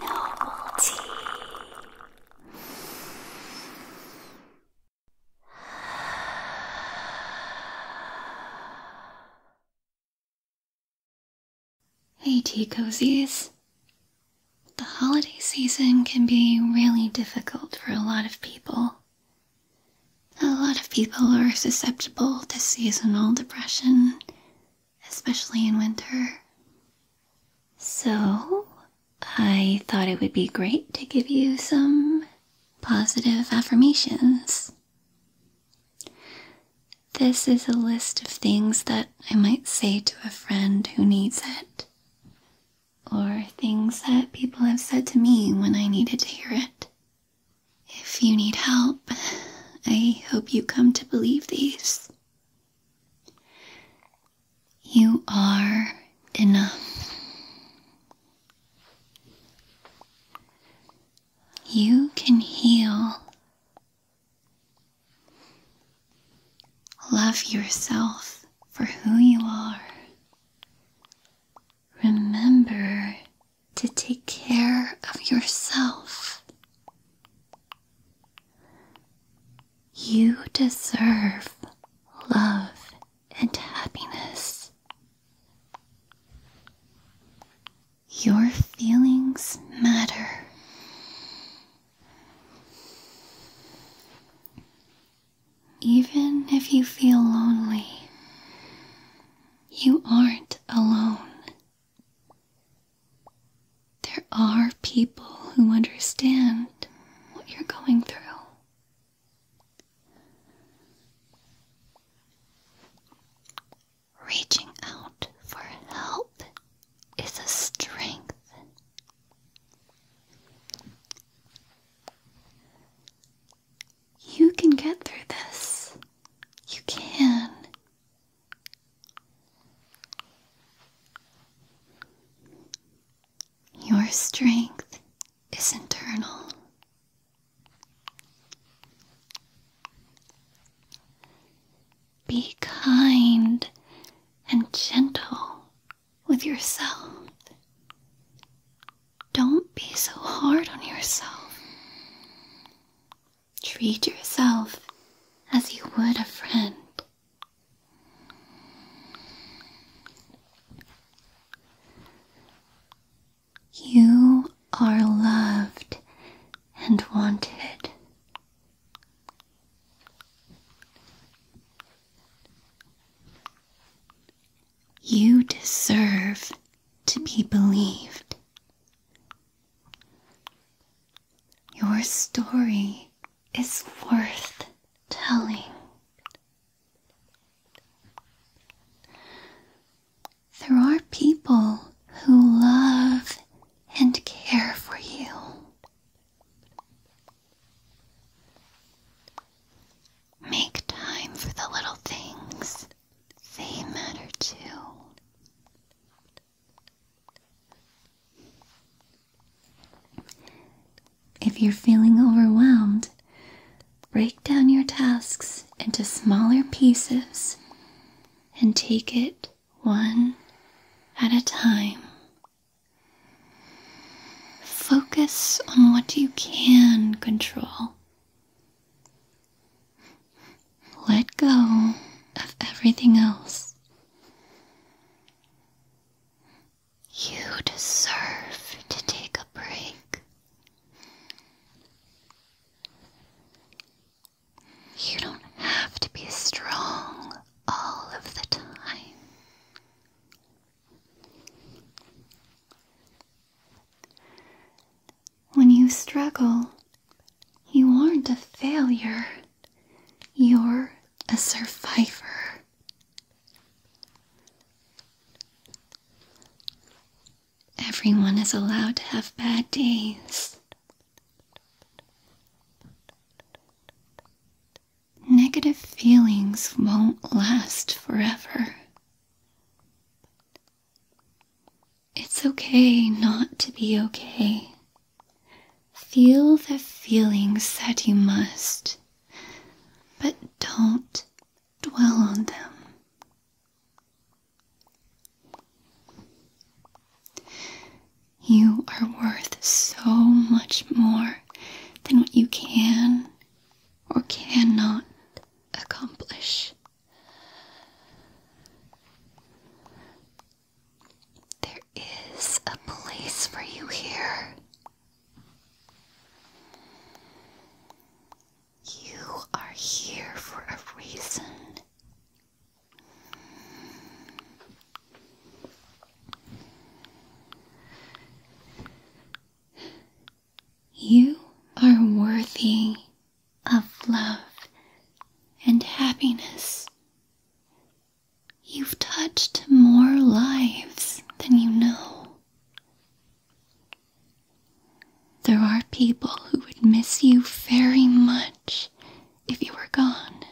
Noble tea. Hey, tea The holiday season can be really difficult for a lot of people. A lot of people are susceptible to seasonal depression, especially in winter. So, I thought it would be great to give you some positive affirmations. This is a list of things that I might say to a friend who needs it, or things that people have said to me when I needed to hear it. If you need help, I hope you come to believe these. You are enough. You can heal. Love yourself for who you are. Remember to take care of yourself. You deserve love and happiness. Your feelings matter. Even if you feel lonely, you aren't alone. There are people who understand what you're going through. Reaching out for help is a strength. You can get through this. You can. Your strength is internal. Be kind and gentle with yourself. Don't be so hard on yourself. Treat yourself as you would a friend. You are loved and wanted. You deserve to be believed. Your story is worth telling. There are people who love and care for you, Make time for the little things. They matter too. If you're feeling overwhelmed, break down your tasks into smaller pieces and take it one at a time. Focus on what you can control. Let go of everything else. You deserve to take a break. You don't have to be strong all of the time. When you struggle, you aren't a failure, you're a survivor. Everyone is allowed to have bad days, Negative feelings won't last forever. It's okay not to be okay. Feel the feelings that you must, but don't dwell on them. You are worth so much more than what you can or cannot accomplish. There is a place for you here. You are here for a reason. You are worthy of love and happiness. You've touched more lives than you know. There are people who would miss you very much if you were gone.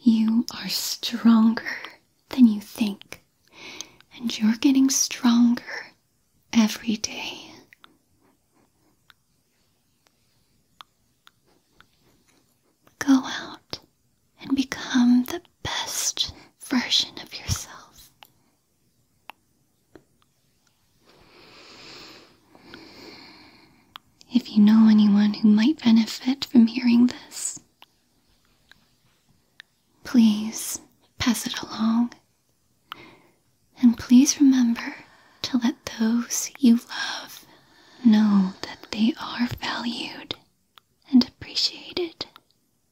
You are stronger than you think, and you're getting stronger every day. Go out and become the best version of yourself. If you know anyone who might benefit from hearing this, please pass it along. And please remember to let those you love know that they are valued and appreciated